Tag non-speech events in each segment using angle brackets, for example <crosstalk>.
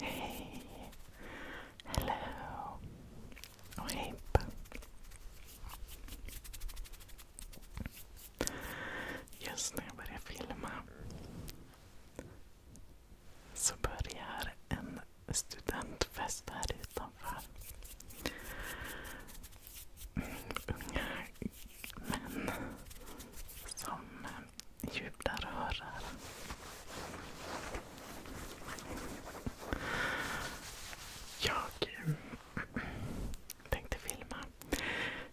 Hej! Hello! Och hej Just när jag börjar filma så börjar en studentfest här utanför. Mm, unga men som jublar och hurrar. Jag eh, tänkte filma.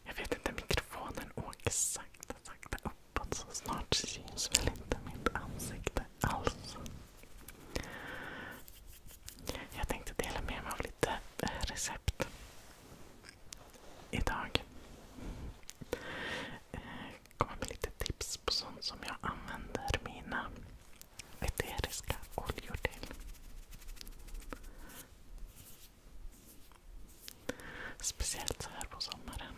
Jag vet inte, mikrofonen åker sakta, sakta uppåt så snart syns väl inte mitt ansikte alls. Jag tänkte dela med mig av lite recept idag. Eh, Komma med lite tips på sånt som jag använder mina eteriska oljor till. Speciellt så här på sommaren.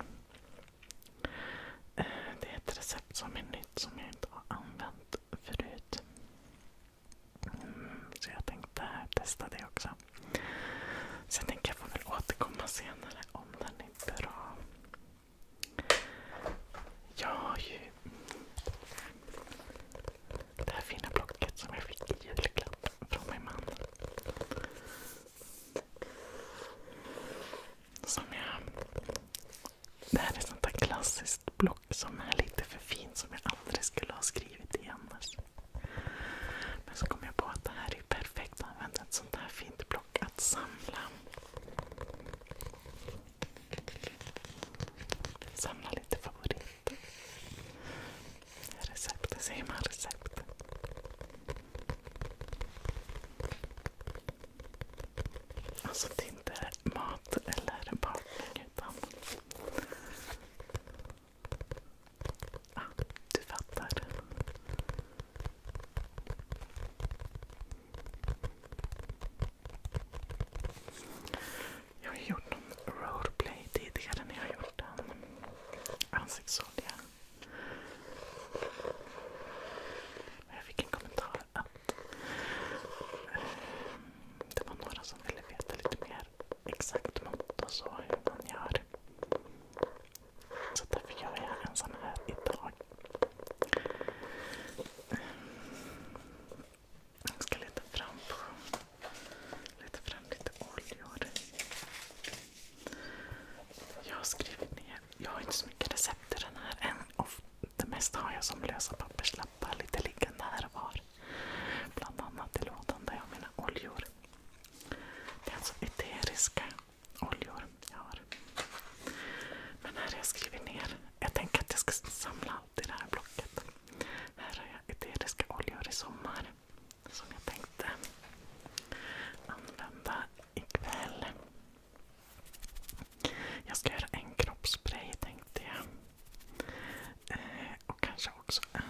Eh, det är ett recept som är nytt som jag inte har använt förut så jag tänkte testa det också. Sen tänker jag får väl återkomma senare om den är bra. Jag har ju det här fina blocket som jag fick i julklapp från min man. Som jag... Det här är ett sånt där klassiskt block som är lite för fint som jag aldrig skulle ha skrivit i annars. Men så kom jag på att det här är perfekt att använda ett sånt här fint block att samla. Samla lite favoriter. Recept, säger man recept? Alltså det är inte mat eller bakning utan Ah, du fattar. Jag har gjort någon roleplay tidigare när jag har gjort en ansiktsolja. Jag fick en kommentar att eh, det var några som ville veta lite mer exakt mått och så hur man gör. Så därför gör jag en sån här idag. Jag ska leta fram, på, leta fram lite oljor. Jag har skrivit ner, jag har inte så mycket recept i den här än. Och det mesta har jag som lösa papperslappar, lite liggande här och var. Bland annat i lådan där jag har mina oljor. Det är alltså eteriska oljor jag har. Men här har jag skrivit ner. Jag tänker att jag ska samla allt i det här blocket. Här har jag eteriska oljor i sommar. Som jag tänkte använda ikväll. Jag ska göra en kroppsspray tänkte jag. Eh, och kanske också en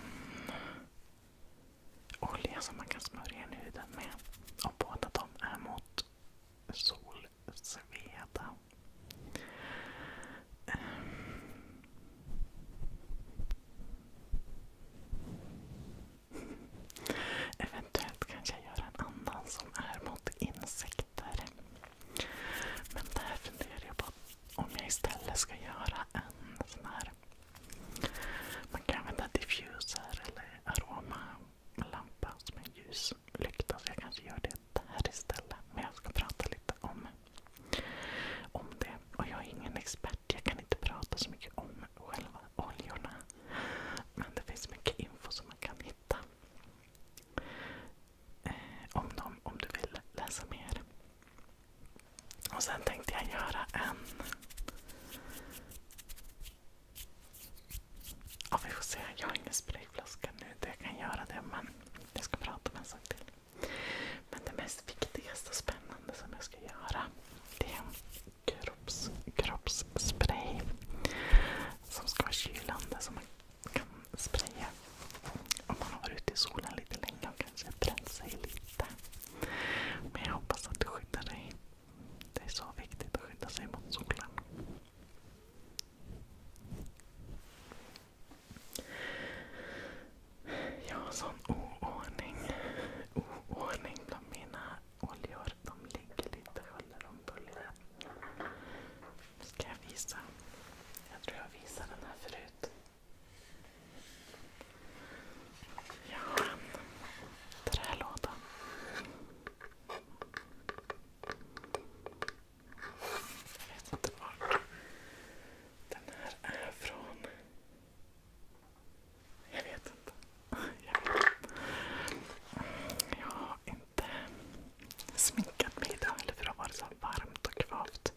olja som man kan smörja in huden med. Och båda de är mot solsveda. Eventuellt kanske jag gör en annan som är mot insekter. Men där funderar jag på om jag istället ska göra en sån här man kan använda diffuser eller aromalampa som en ljuslykta. Så jag kanske gör det där istället. Men jag ska prata lite om, om det. Och jag är ingen expert. Jag kan inte prata så mycket om själva oljorna. Men det finns mycket info som man kan hitta. Eh, om dem om du vill läsa mer. Och sen tänkte jag göra en... Ja, vi får se. Jag har ingen sprayflaska nu där jag kan göra det. Men jag ska prata om en sak till. Men det mest viktigaste och spännande som jag ska göra det är en kropps, kroppsspray. Som ska vara kylande. Som man kan spraya om man har varit ute i solen lite länge och kanske bränt sig lite. Men jag hoppas att du skyddar dig. Det är så viktigt att skydda sig mot solen. Jag har sån oordning. bland mina oljor. De ligger lite huller om buller. Nu ska jag visa. Jag tror jag visar den här förut. Jag har en trälåda. Jag vet inte vart. Den här är från... Jag vet inte. Jag, har inte sminkat mig idag eller för det har varit så varmt och kvavt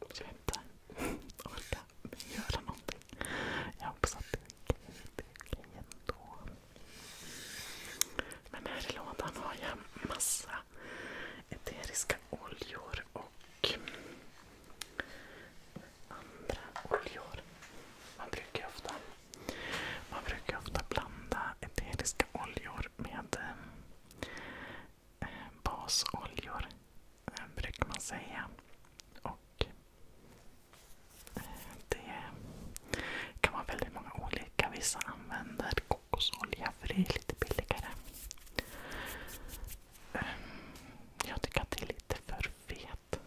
att jag inte orkar göra någonting. Jag hoppas att det blir okej ändå. Men här i lådan har jag massa eteriska oljor och andra oljor. man brukar ofta blanda eteriska oljor med eh, basoljor eh, brukar man säga. Och eh, Det kan vara väldigt många olika. Vissa använder kokosolja för det är lite billigare. Eh, jag tycker att det är lite för fet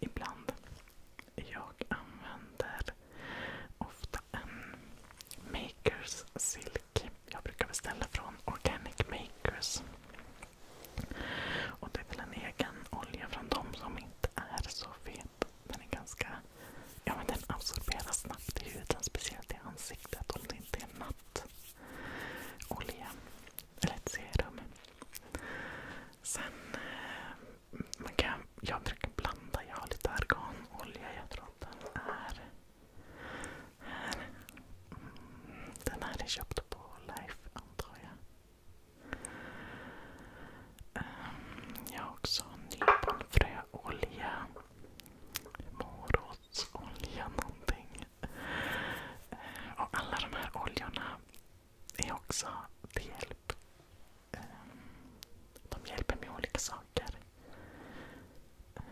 ibland. Jag använder ofta en Makers Silk. Jag brukar beställa från Organic Makers. Det är en egen olja från dem som inte är så fet. Den är snabbt huden, speciellt i ansiktet om det inte är natt. Olja. Eller ett serum. Sen eh, man kan, jag brukar blanda. Jag har lite arganolja. Jag tror att den är mm, den här är köpt på Life antar jag. Ehm, jag har också nyponfröolja. Morotsolja någonting. Ehm, och alla de här oljorna är också del hjälp. Ehm, de hjälper med olika saker. Ehm,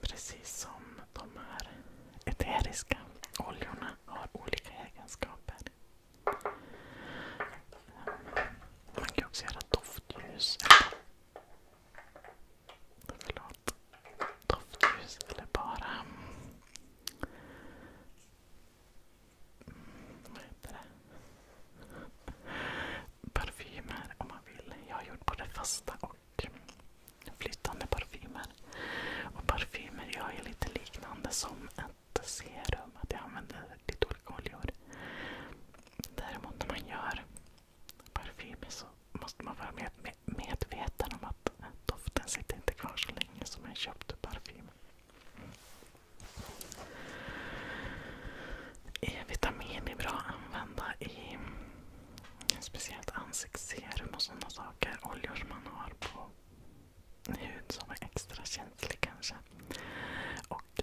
precis som de här eteriska oljorna har olika egenskaper. Ehm, man kan också göra doftljus. Doftljus eller bara vad heter det? Parfymer om man vill. Jag har gjort både fasta och flytande parfymer. Och parfymer gör ju lite liknande som ett serum. jag använder lite olika oljor. Däremot när man gör parfymer så måste man vara medveten om att doften sitter kvar så länge som en köpt parfym. E-vitamin är bra att använda i speciellt ansiktsserum och sådana saker. Oljor som man har på hud som är extra känslig kanske. Och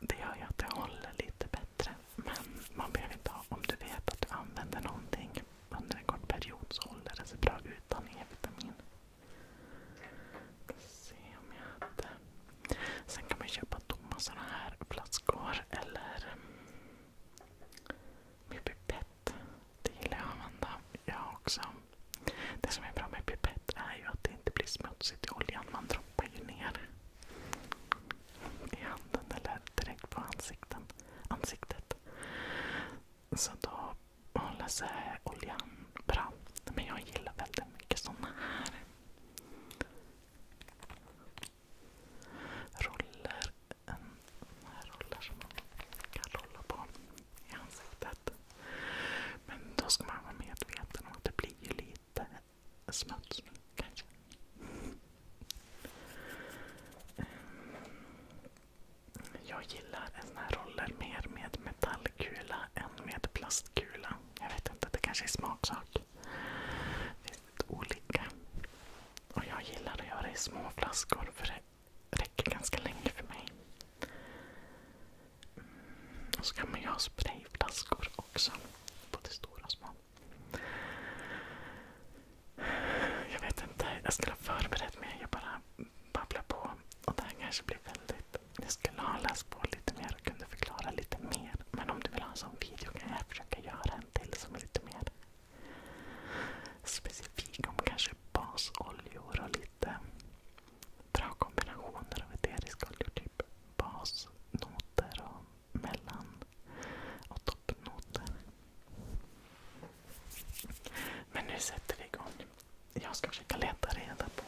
det gör ju att det håller lite bättre. Men man behöver inte ha, om du vet att du använder någonting under en kort period så håller det sig bra utan E-vitamin. Sen kan man köpa tomma såna här flaskor eller med Det gillar jag att använda jag också. Det som är bra med pipett är ju att det inte blir smutsigt i oljan. Man droppar ju ner i handen eller direkt på ansiktet. Så då och Lasse Oljan bra. Men jag gillar väldigt mycket såna här. Roller. En här roller som man kan rolla på i ansiktet. Men då ska man vara medveten om att det blir ju lite smuts kanske. Jag gillar här roller mer med metallkula än med plastkula. Jag vet inte, det kanske är smaksak. Det finns lite olika. Och jag gillar att göra i små flaskor för det räcker ganska länge för mig. Mm, och så kan man ju ha sprayflaskor också. Både stora och små. Jag vet inte, jag skulle ha förberett mig. Jag bara Babbla på. Och det här kanske blir väldigt... Jag skulle ha läst på lite mer och kunde förklara lite mer. Men om du vill ha en sån video kan jag försöka göra en till som är lite mer specifik om kanske basoljor och lite bra kombinationer av eteriska oljor. Typ basnoter och mellan och toppnoter. Men nu sätter vi igång. Jag ska försöka leta reda på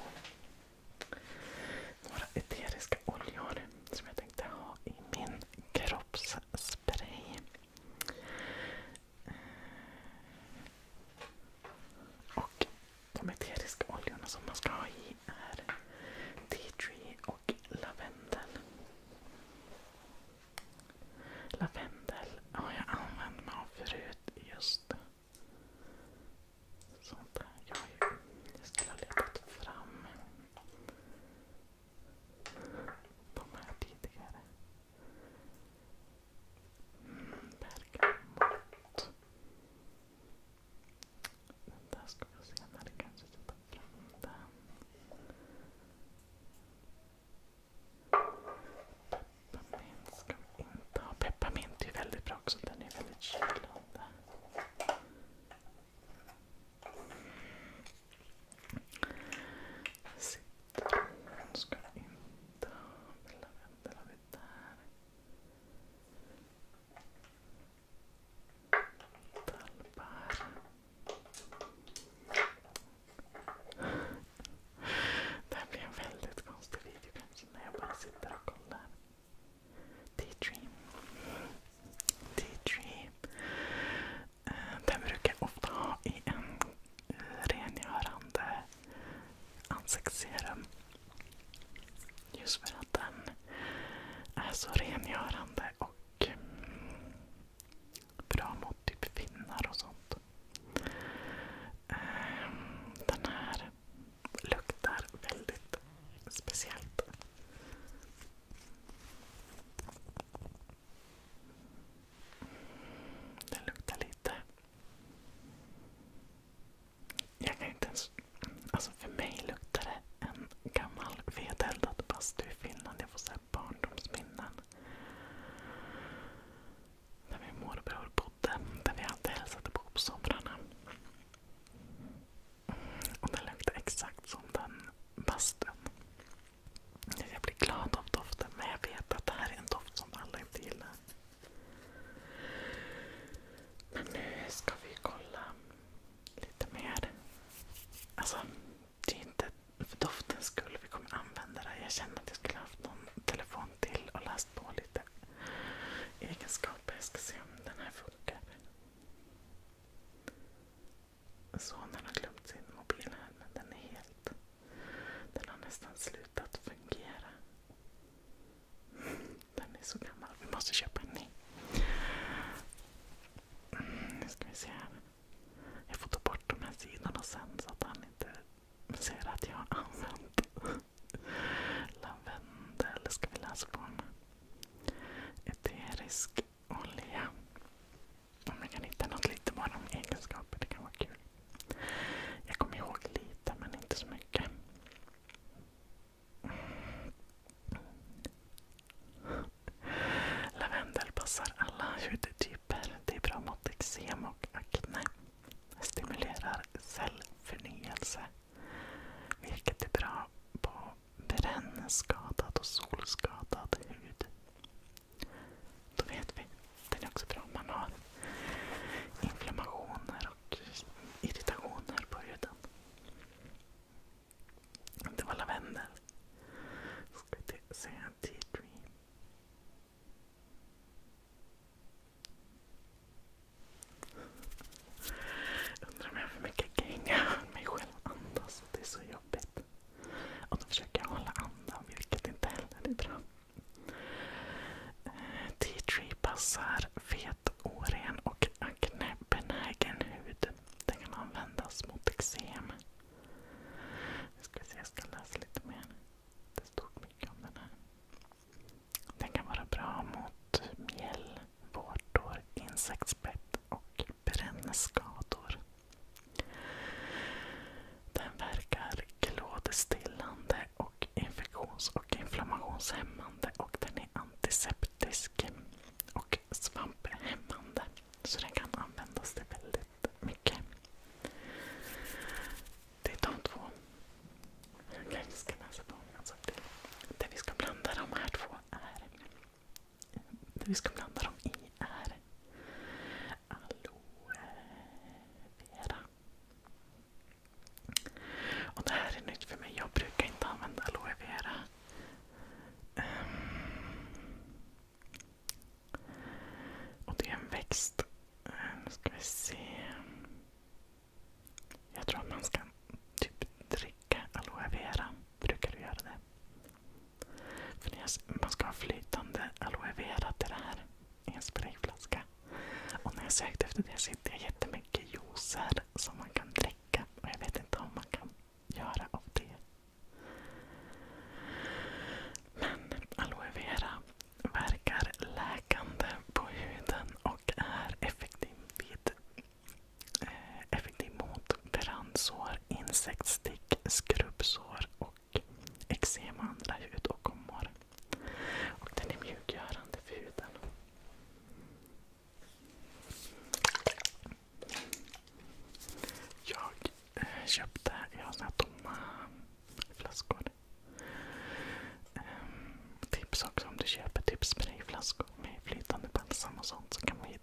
några eteriska oljor som jag tänkte ha i min kroppsspray. Och de eteriska oljorna som man ska ha i är tea tree och lavendel. Lavendel har jag använt mig av förut just Sånt där. Jag, jag skulle ha letat fram de här tidigare. Mm, bergamott. Den där ska vi se när det kanske sätta fram den. Pepparmint ska vi inte ha. Pepparmint är väldigt bra också. Den är väldigt kylande. Citron ska vi inte ha. Lavendel har vi där. Tallbär. Det här blir en väldigt konstig video kanske när jag bara sitter och kollar. Daydream. Daydream. Eh, den brukar jag ofta ha i en rengörande ansiktsserum. Just för att den är så rengörande och mm, bra mot typ finnar och sånt. Eh, den här luktar väldigt speciellt. Den luktar lite... Jag kan inte ens... Alltså för mig luktar det en gammal vedeldad bastu i Finland. Jag får så här barndomsminnen. Där min morbror bodde. Där vi alltid hälsade på på somrarna. Och den luktar exakt som den bastun. Jag blir glad av doften men jag vet att det här är en doft som alla inte gillar. Men nu ska vi kolla lite mer. Alltså, det är inte för doftens skull vi kommer använda det. Jag känner att jag skulle haft någon telefon till att läsa läst på lite egenskaper. Jag ska se om den här funkar. Sonen har glömt sin mobil här men den är helt... Den har nästan slutat fungera. Den är så gammal. Vi måste köpa en ny. Nu ska vi se här. Jag får ta bort de här sidorna sen så att han inte ser att jag har använt lavendel. eterisk olja. Om jag kan hitta något lite bara egenskaper, det kan vara kul. Jag kommer ihåg lite, men inte så mycket. Lavendel passar alla hudtyper. Det är bra mot eksem och akne stimulerar cellförnyelse. Vilket är bra på brännskadad och solskadad hud. Då vet vi. Den är också bra om man har inflammationer och irritationer på huden. Det var lavendel. Ska vi se, tea dream. Undrar om jag har för mycket gänga. mig själv andas. Det är så jobbigt. då försöker jag hålla andan, vilket inte heller är bra. Eh, T-tree passar fet, oren och aknebenägen hud. Den kan användas mot eksem. Nu ska vi se, jag ska läsa lite mer. Det stod mycket om den här. Den kan vara bra mot mjäll, vårtor, insektsbett och brännskador. Den verkar klådestillande och infektions och inflammationshämmande den är antiseptisk och svamphämmande. Så den kan användas till väldigt mycket. Det är de två. Alltså, det, vi ska blanda de här två vi ska blanda dem i är aloe vera. Och det här är nytt för mig. Jag brukar inte använda aloe vera. Um, och det är en växt nu ska vi se. Jag tror att man ska typ dricka aloe vera. Brukar du göra det? För man ska ha flytande aloe vera till det här i en sprayflaska. Och när jag sökte efter det så hittade jag jättemycket juicer som man kan dricka. Och jag vet inte om man kan göra av det. Men aloe vera verkar läkande på huden och är effektiv eh, mot brandsår, insektsstick, skrubbsår och eksem och andra hud den är mjukgörande för huden. Jag eh, köpte, jag har här tomma flaskor. Ehm, tips också om du köper typ sprayflaskor med flytande balsam och sånt så kan man ju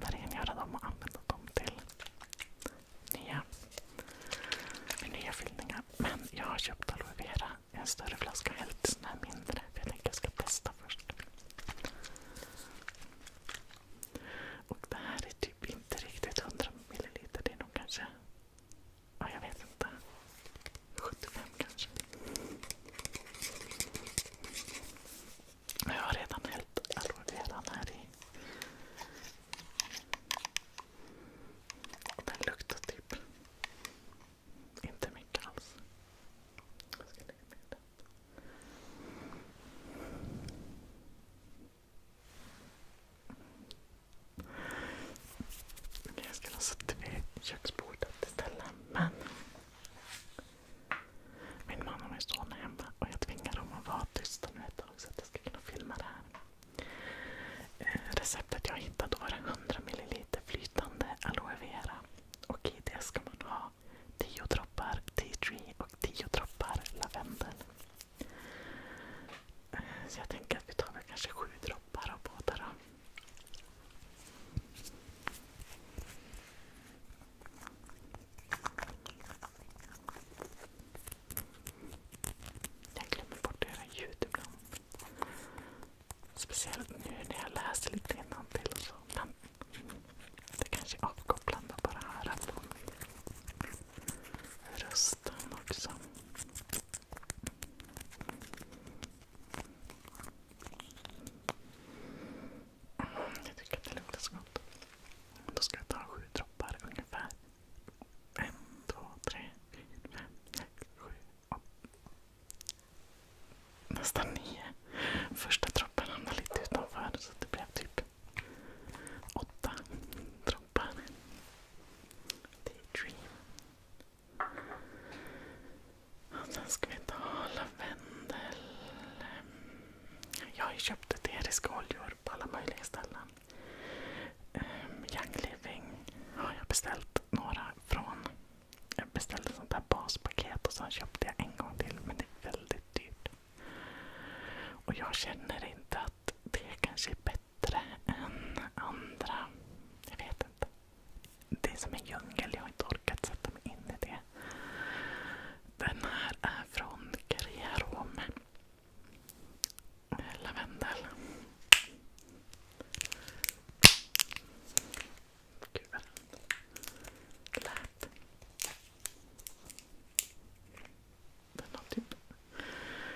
rengöra dem och använda dem till nya, nya fyllningar. Men jag har köpt aloe vera en större flaska och hällt sån här mindre. För jag tänkte jag ska testa först. Och det här är typ inte riktigt 100 ml. Det är nog kanske Ja, jag vet inte. 75 kanske. Jag har redan hällt aloe vera här i. Den luktar typ inte mycket alls. Jag ska lägga ner den. Okay, jag skulle ha suttit vid köksbordet istället. Men min man och min son är hemma och jag tvingar dem att vara tysta nu ett tag så att jag ska kunna filma det här. Eh, receptet jag hittade var 100 ml flytande aloe vera. Och i det ska man ha 10 droppar tea tree och 10 droppar lavendel. Så jag tänker att vi tar kanske sju droppar av båda Jag glömmer bort att göra ljud ibland. Speciellt nu när jag läser lite innantill Men det kanske är avkopplande att bara höra Rösten också. Jag tycker att det luktar så gott. Då ska jag ta sju droppar ungefär. En, två, tre, fyra, fem, sex, sju, åtta. Nästan nio. Första droppen hamnade lite utanför så det blev typ åtta droppar. Det är dream. sen ska vi ta lavendel. Ehm, jag har ju köpt eteriska oljor på alla möjliga ställen. Ehm, Young Living har jag beställt några från. Jag beställde sånt baspaket och sen köpte jag en gång till. Men det är väldigt dyrt. Och jag känner inte att det kanske är bättre bättre än andra. Jag vet inte. Det är som en djungel. Jag har inte orkat sätta mig in i det. Den här är från Kriarome. Lavendel. Gud vad den lät. Den har typ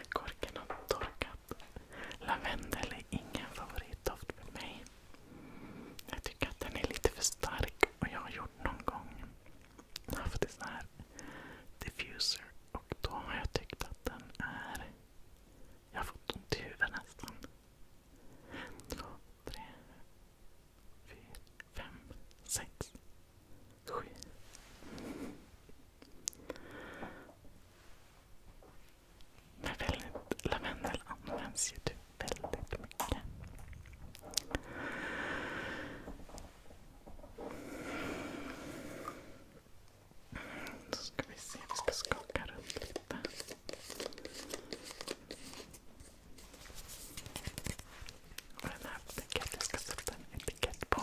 korken har torkat. Lavendel är ingen favoritdoft för mig. Jag tycker att den är lite för stark och jag har gjort någon gång jag har fått en sån här diffuser och då har jag tyckt att den är... Jag har fått ont i huvudet nästan. Två, tre, fyra, fem, sex, sju. Men väldigt, lavendel används ju typ väldigt mycket. Så ska vi se, vi ska skaka runt lite. Och den här etiketten, jag ska sätta en etikett på.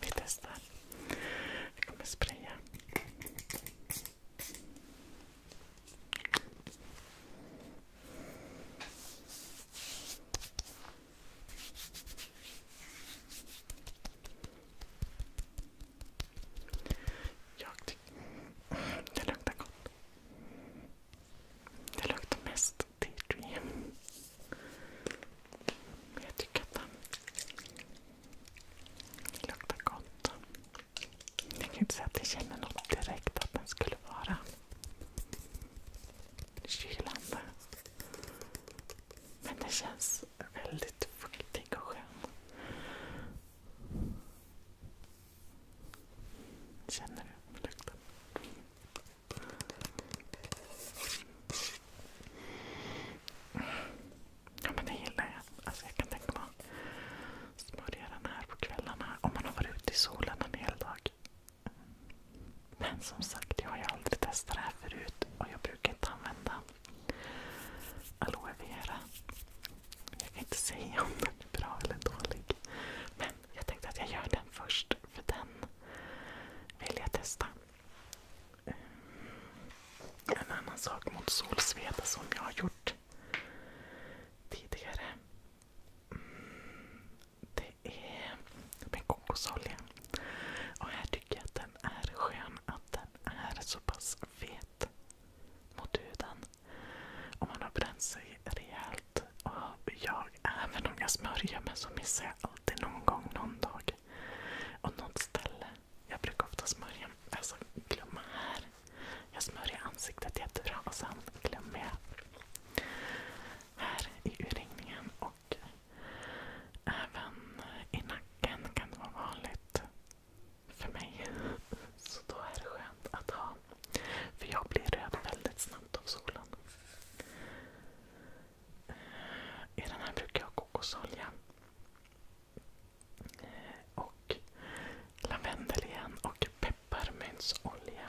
Vi testar. Vi kommer spraya. Jag Det luktar gott. Det luktar mest T-dream. Jag tycker att den luktar gott. Jag kan inte säga att jag känner något direkt att den skulle vara Kylande. Men den känns väldigt fuktig och skön. Känner du lukten? Ja men det gillar jag. Alltså, jag kan tänka mig att smörja den här på kvällarna om man har varit ute i solen en hel dag. Men som sagt, jag har ju aldrig testat det här förut och jag brukar inte använda aloe vera. Jag kan inte säga om den är bra eller dålig. Men jag tänkte att jag gör den först, för den vill jag testa. Eh, en annan sak mot solsveda som jag har gjort tidigare. Mm. Det är med kokosolja. Och här tycker jag att den är skön. Att den är så fet mot huden. Om man har bränt sig rejält. även om jag smörjer mig så missar jag alltid någon gång, någon dag. Och något ställe. Jag brukar ofta smörja, alltså glömma här. Jag smörjer ansiktet jättebra och sen glömmer jag här i urringningen och även i nacken kan det vara vanligt för mig. <laughs> Så då är det skönt att ha. För jag blir röd väldigt snabbt av solen. Eh, I den här brukar jag ha kokosolja. Eh, och lavendel igen och pepparmyntsolja.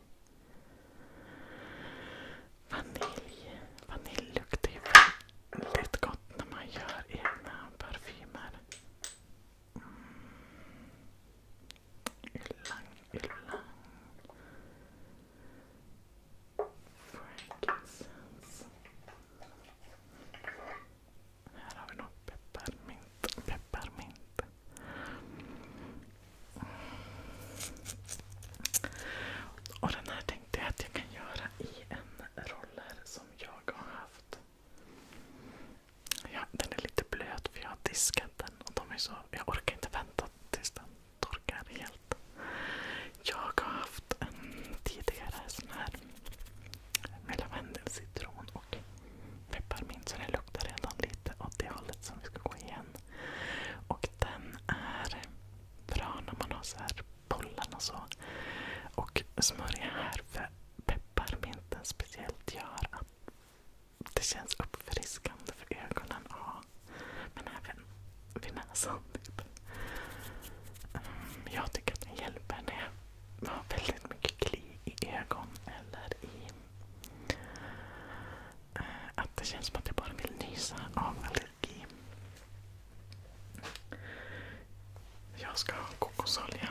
Vanilj. Vanilj luktar ju väldigt gott när man gör egna parfymer. Mm. Ylang, ylang. Frankincense. Här har vi nog pepparmint. Pepparmint. Och den här tänkte jag att jag kan göra i en roller som jag har haft. den är lite blöt för jag har diskat den jag orkar inte vänta tills den torkar helt. Jag har haft en tidigare sån här med lavendel, citron och pepparmint så det luktar redan lite åt det hållet som vi ska gå igen. Och den är bra när man har så här pollen och så. Och smörja här för pepparminten speciellt gör att det känns uppfriskande för ögonen. Ja. Men även vid näsan. Typ. Mm, jag tycker att den hjälper när jag har väldigt mycket kli i ögon eh, Att det känns som att jag bara vill nysa av väldigt allergi. Jag ska ha kokosolja.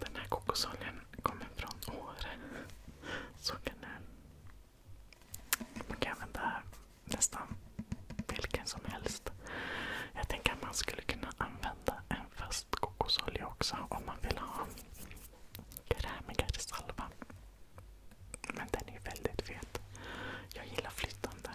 Den här kokosoljan kommer från Åre. Såg jag nu. Man kan använda nästan vilken som helst. Jag tänker att man skulle kunna använda en fast kokosolja också om man vill ha krämigare salva. Men den är väldigt fet. Jag gillar flytande.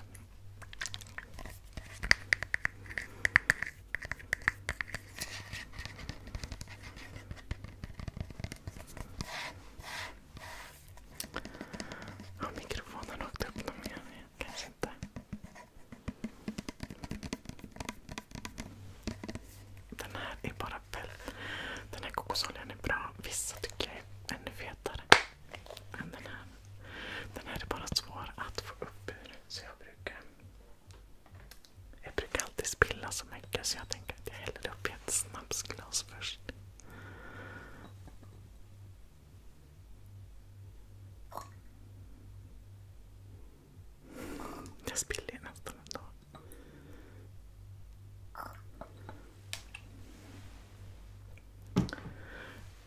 Har mikrofonen åkt upp dem igen? Kanske inte. Den här är bara väldigt... Den här kokosoljan är bra. Vissa tycker jag är ännu fetare än den här. Den här är bara svår att få upp ur. Så jag brukar... Jag brukar alltid spilla så mycket så jag tänker att jag häller upp i ett snapsglas först. Jag spiller ju nästan ändå.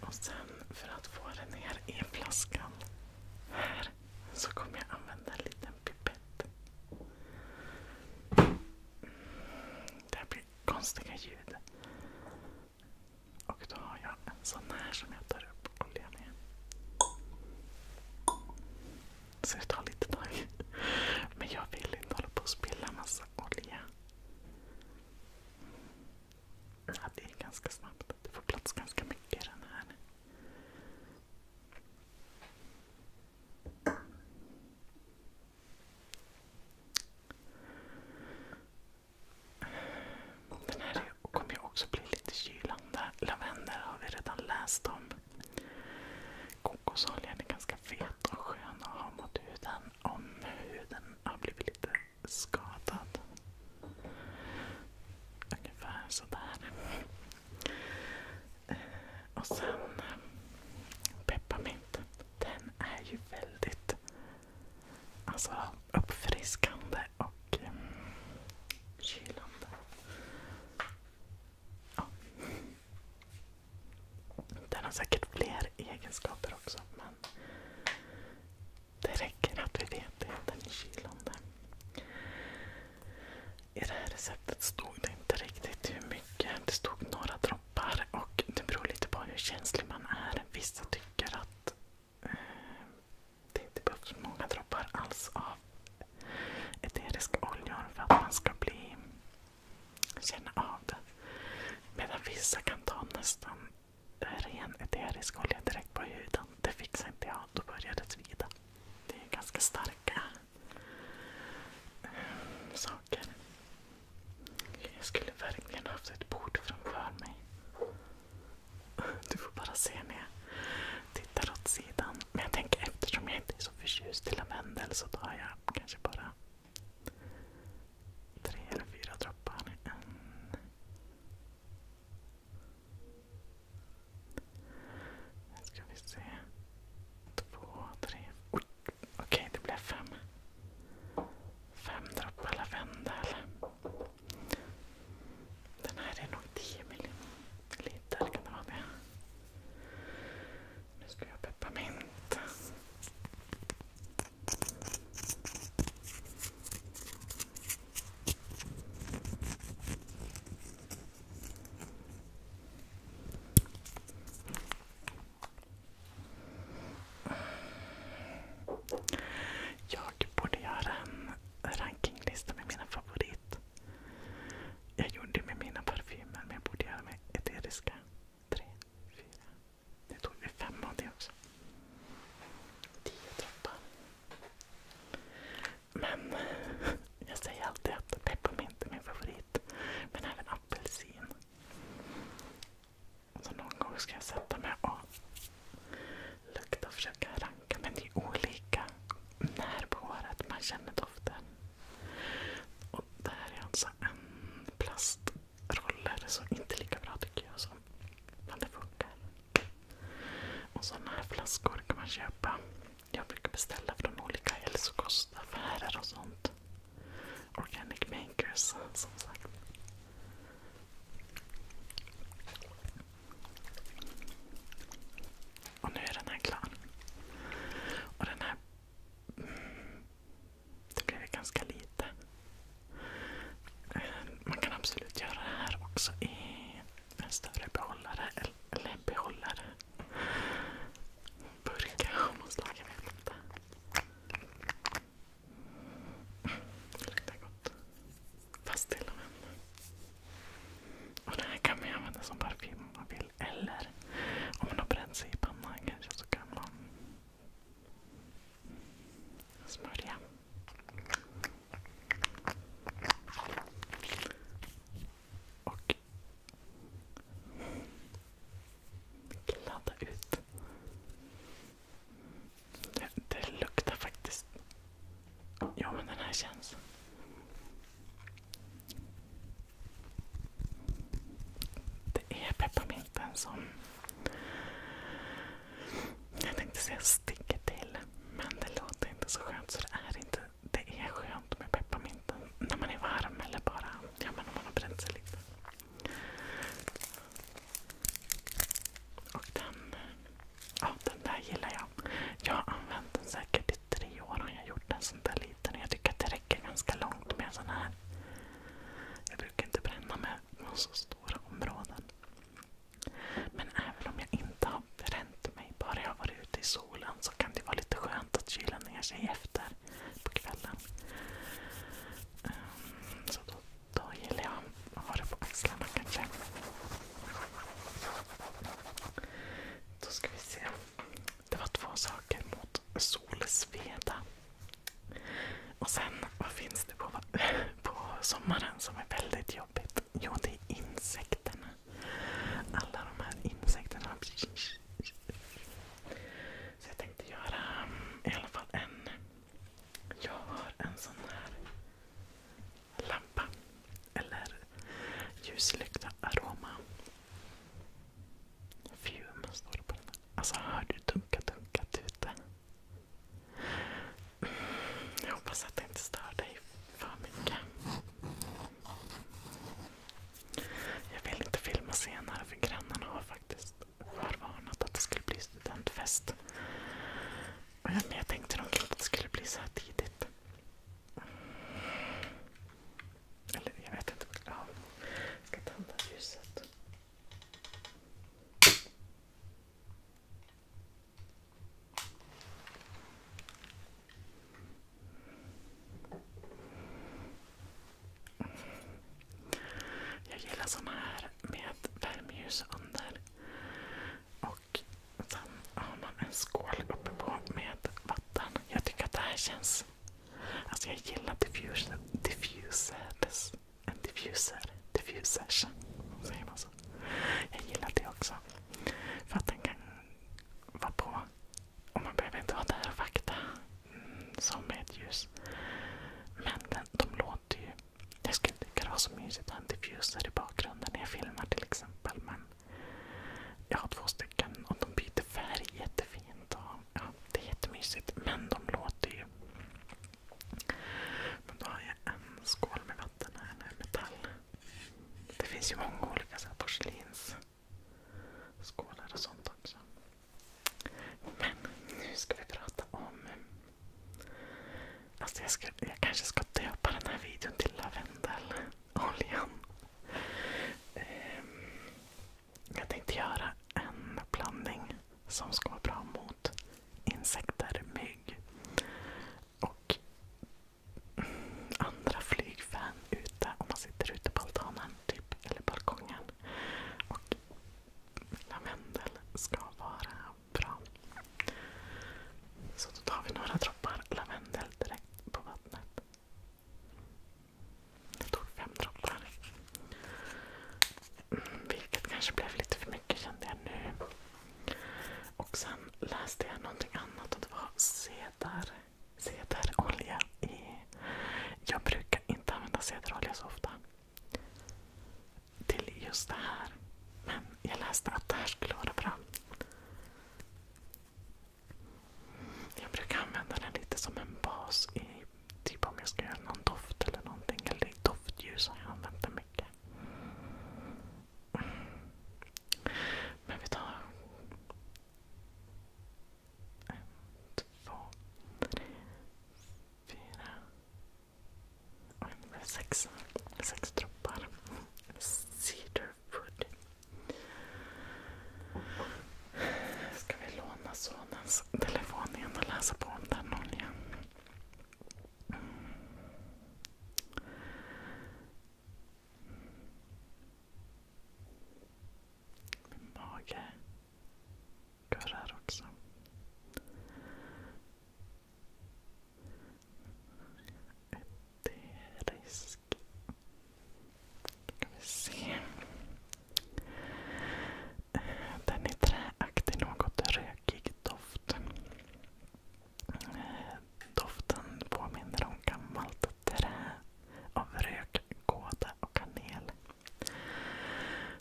Och sen för att få det ner i flaskan här så kommer jag använda en liten pipett. Mm, det här blir konstiga ljud. Och då har jag en sån här som jag tar upp oljan i. Så det tar lite tag. Men jag vill inte hålla på och spilla massa olja. Ja, det är ganska snabbt. Det får plats ganska mycket i den här. Den här kommer ju också bli lite kylande. Lavendel har vi redan läst om. Kokosoljan är ganska fet och skön att ha mot huden om huden har blivit lite skadad. Ungefär sådär. Eh, och sen pepparmint. Den är ju väldigt alltså, uppfriskande och kylande. Ja. Den har säkert fler egenskaper också men det räcker att vi vet det. Den är kylande. I det här receptet stod det inte riktigt hur mycket. Det stod några droppar och det beror lite på hur känslig man är. Vissa tycker att eh, det inte behövs många droppar alls av eteriska oljor för att man ska känna av det. Medan vissa kan ta nästan ren eterisk olja direkt på huden. Det fixar inte jag. Då börjar det svida. Det är ganska starka ehm, saker. Jag skulle verkligen haft ett bord framför mig. Du får bara se när jag tittar åt sidan. Men jag tänker eftersom jag inte är så förtjust i lavendel så tar jag kanske bara tre eller fyra droppar. En. Nu ska vi se. Två, tre. okej okay, det blev fem. Fem droppar lavendel. Den här är nog 10 miljoner. Lidl kan det vara med. Nu ska jag ha pepparmint. Jag borde göra en rankinglista med mina favoriter jag gjorde det med mina parfymer, men jag borde göra med eteriska. Tre, fyra. Nu tog vi fem av det också. Tio droppar. Men <laughs> jag säger alltid att pepparmint är min favorit. Men även apelsin. Så någon gång ska jag sätta mig och lukta för försöka ranka men det är olika när på håret man känner doften. Och det här är alltså en plastroller, så inte lika bra tycker jag. som. Men det funkar. Och sådana här flaskor kan man köpa. Jag brukar beställa från olika hälsokostaffärer och sånt. Organic makers, som sagt. Och nu är den här klar. Och den här... Mm, det blev ganska lite. Eh, man kan absolut göra det här också i en större behållare. Eller en behållare. Burka av något slag. Jag vet inte. Det luktar gott. Fast till och med. Och det här kan man använda som parfym om man vill. Eller om man har bränt sig i pannan kanske så kan man smörja. Och kladda ut. Det, det luktar faktiskt Ja, men den här känns. Det är pepparminten som... Jag tänkte säga sticker till, men det låter inte så skönt så det är inte. Det är skönt med pepparminten när man är varm eller bara ja, men om man har bränt sig lite. Och den Ja, den där gillar jag. Jag har använt den säkert i tre år och jag har gjort en sån där liten. Jag tycker att det räcker ganska långt med en sån här. Jag brukar inte bränna med på så stora områden. Men även om jag inte har bränt mig, bara jag har varit ute i solen så kan det vara skönt att kyla ner sig efter på kvällen. Ehm, då gillar jag att ha det på axlarna kanske. Då ska vi se. Det var två saker mot Solsveda. Och sen, vad finns det på, på sommaren som är väldigt jobbigt? Jo, det är insekterna. Alla de här insekterna. Så jag tänkte göra i alla fall en... Jag har en sån här lampa eller ljuslykta aroma. Fume står det på den. Alltså hör du dunka dunka ute? Jag hoppas att det inte stör dig för mycket. Jag vill inte filma senare för grannarna har faktiskt förvarnat att det skulle bli studentfest. Men jag tänkte nog inte att det skulle bli så här tidigt. Eller jag vet inte. Jag ska tända ljuset. Jag gillar såna här med värmeljus under. Och och sen har man en skål uppe på med vatten. Jag tycker att det här känns... Alltså jag gillar diffuser, diffusers. En diffuser. Diffusers. Säger man så? Jag gillar det också. För att den kan vara på. Och man behöver inte vara där och vakta. Mm, som med ljus. Men den, de låter ju... Jag skulle tycka det var så mysigt att ha en diffuser i bakgrunden när jag filmar till exempel. Men jag har två stycken och de byter färg jättefint. Och, ja, det är jättemysigt. Men de låter ju. Men då har jag en skål med vatten här nu, metall. Det finns ju många olika så här porslinsskålar och sånt också. Men nu ska vi prata om... Alltså jag, ska, jag kanske ska döpa den här videon till lavendel oljan. Ehm, jag tänkte göra en blandning som ska vara bra mot insekter, mygg och andra flygfän ute om man sitter ute på altanen typ, eller balkongen. Och lavendel ska vara bra. Så då tar vi några droppar lavendel direkt på vattnet. Jag tog fem droppar. Mm, vilket kanske blev lite för mycket kände jag nu. Och sen läste jag någonting annat och det var cedar, cederolja. I, jag brukar inte använda cederolja så ofta till just det här. Men jag läste att det här skulle vara bra. Jag brukar använda den lite som en bas. i Typ om jag ska göra någon doft eller någonting. Eller doftljus har jag använt den mycket. Men vi tar... En, två, tre, fyra... Oj, det blev sex. Sex droppar. Cedarwood. Ska vi låna sonens telefon igen och läsa på om den oljan? Min mage kurrar också. Utterisk. Den är träaktig, något rökig doft. Doften påminner om gammalt trä av rök, kåda och kanel.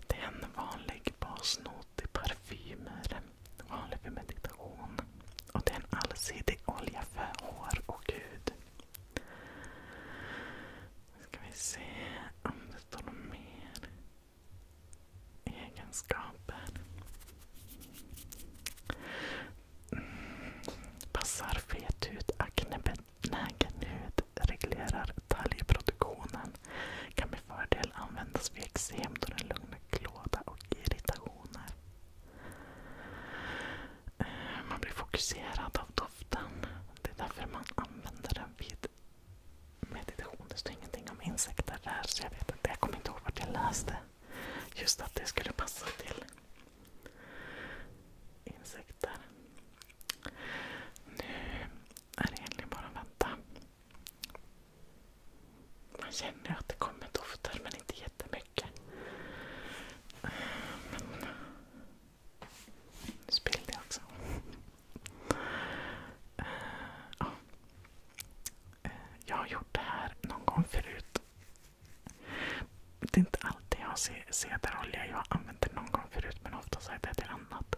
Det är en vanlig basnot i parfymer. Vanlig för meditation. Och det är en allsidig olja för hår och hud. Nu ska vi se om det står några mer. Egenskaper. Passar fet hud, aknebenägen hud, reglerar talgproduktionen. Kan med fördel användas vid eksem då den lugnar klåda och irritationer. Eh, man blir fokuserad av doften. Det är därför man använder den vid meditation. Det står ingenting om insekter där, så jag vet inte. Jag kommer inte ihåg vart jag läste. Just att det skulle passa till insekter. Nu är det egentligen bara att vänta man känner att det kommer dofter men inte jättemycket. Men... Nu spillde jag också. Eh, ja. Eh, jag har gjort det här någon gång förut. Det är inte alltid jag ser cederolja. Jag har använt det någon gång förut men oftast är det till annat.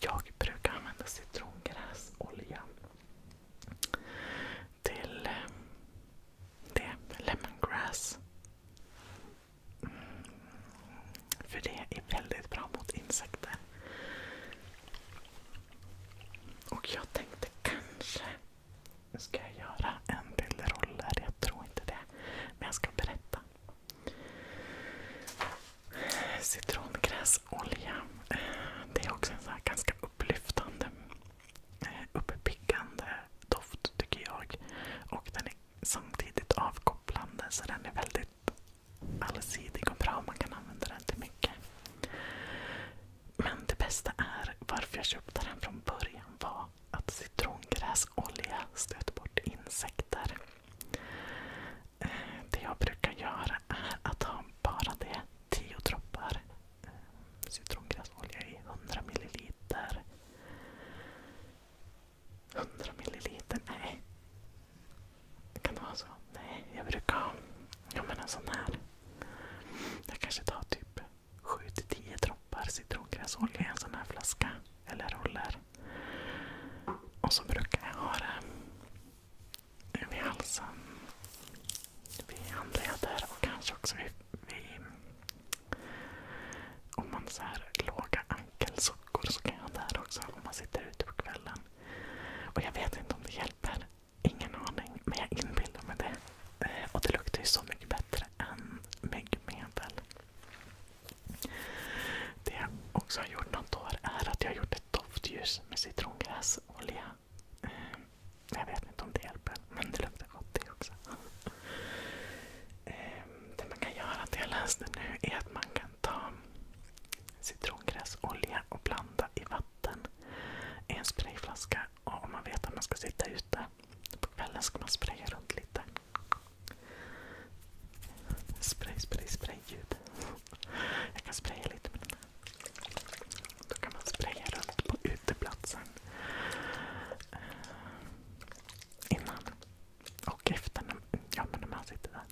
Jag brukar använda citrongräsolja till eh, det, lemongrass. Mm, för det är väldigt bra mot insekter. Och jag tänkte kanske ska jag göra en bilderoll där. Jag tror inte det. Men jag ska berätta. Citrongräsolja. Eh, det är också en så här ganska upplyftande uppiggande doft tycker jag. Och den är samtidigt avkopplande så den är väldigt allsidig och bra. Man kan använda den till mycket. Men det bästa är, varför jag köpte den från början var att citrongräsolja stöter bort insekter. Eh, det jag brukar göra är att ha bara det, tio droppar citrongräsolja i 100 milliliter. 100 milliliter? Nej. Kan det vara så? Nej, jag brukar ha ja, men en sån här. Jag kanske tar typ 7-10 droppar citrongräsolja i en sån här flaska eller roller. Och så brukar jag ha det vid halsen vi handleder och kanske också om man så låga ankelsockor så kan jag ha där också om man sitter ute på kvällen. Och jag vet inte om det hjälper. Ingen aning. Men jag inbillar mig det. Eh, och det luktar ju så mycket bättre än myggmedel. Det jag också har gjort något år är att jag har gjort ett doftljus med citrongräsolja jag vet inte om det hjälper, men det luktar gott det också. Ehm, det man kan göra, det jag läste nu, är att man kan ta citrongräsolja och blanda i vatten i en sprayflaska. Och om man vet att man ska sitta ute på kvällen ska man spraya runt lite. Spray, spray, spray ljud. Jag kan spraya lite med den här. Då kan man spraya runt på uteplatsen. Eh, innan och efter. Ja, men när man sitter där.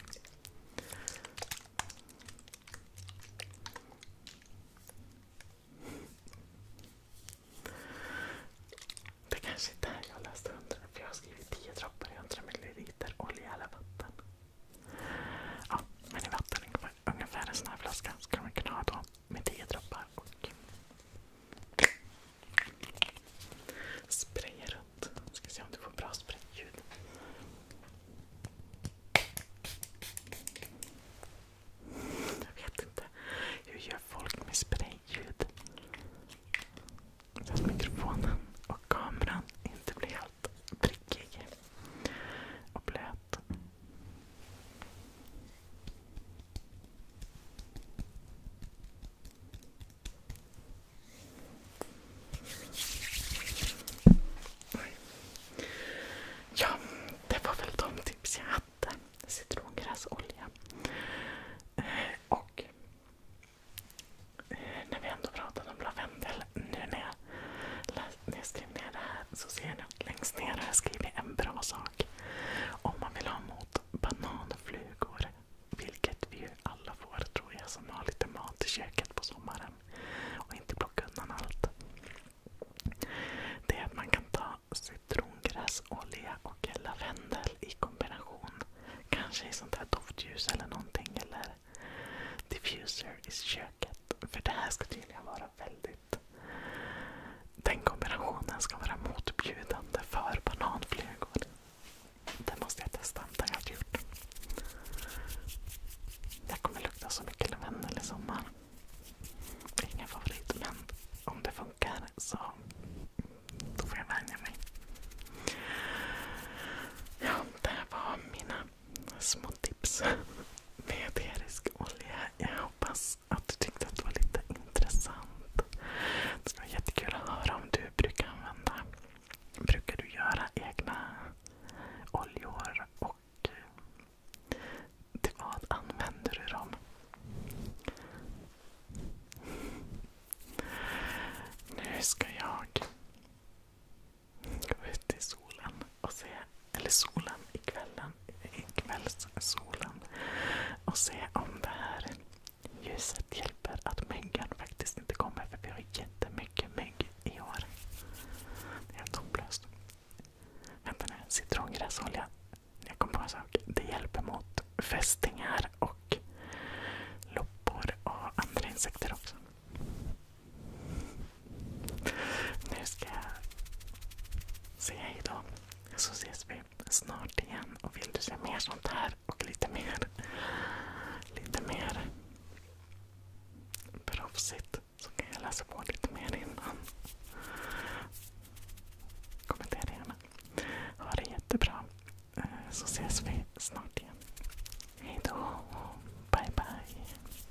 Det kanske inte är jag läste under jag har skrivit 10 droppar i 100 ml olja eller vatten. Ja, men i vatten ungefär ungefär en sån här flaska skulle man kunna ha då med 10 droppar och spraya runt. Ska se om du får bra sprayljud. Jag vet inte. Hur gör folk med sprayljud? Fast mikrofonen och kameran inte blir helt prickig och blöt. Ja, det var väl de tips jag hade. Citrongrassolja. Eh, och eh, när vi ändå pratade om lavendel, nu när jag när jag skriver ner det här så ser jag att längst ner har jag skrivit en bra sak. Om man vill ha mot bananflugor, vilket vi ju alla får tror jag som har lite mat i köket på sommaren och inte plocka undan allt. Det är att man kan ta citrongräsolja och lavendel i kombination. Kanske i sånt här doftljus eller någonting. Eller diffuser i köket. För det här ska tydligen vara väldigt den kombinationen ska vara motbjudande för bananflugor. Det måste jag testa. Det har jag inte gjort. Jag kommer lukta så mycket lavendel i sommar. Ingen favorit, men om det funkar så får jag vänja mig. Ja, det var mina små tips. Med Veterisk olja. Jag hoppas att du tyckte att det var lite intressant. Det skulle vara jättekul att höra om du brukar använda Brukar du göra egna oljor? Och eh, till vad använder du dem? Nu ska jag gå ut i solen och se, eller solen i kvällen, i kvällssolen och se om det här ljuset hjälper att myggan faktiskt inte kommer för vi har jättemycket mygg i år. Det är hopplöst. Vänta nu, citrongräsolja. Jag kom på en sak. Det hjälper mot fästingar och loppor och andra insekter också. Nu ska jag säga då Så ses vi snart igen. Och vill du se mer sånt här och lite mer, lite mer proffsigt så kan jag läsa på lite mer innan. Kommentera gärna. Ha det jättebra. Eh, så ses vi snart igen. Hejdå. Bye bye.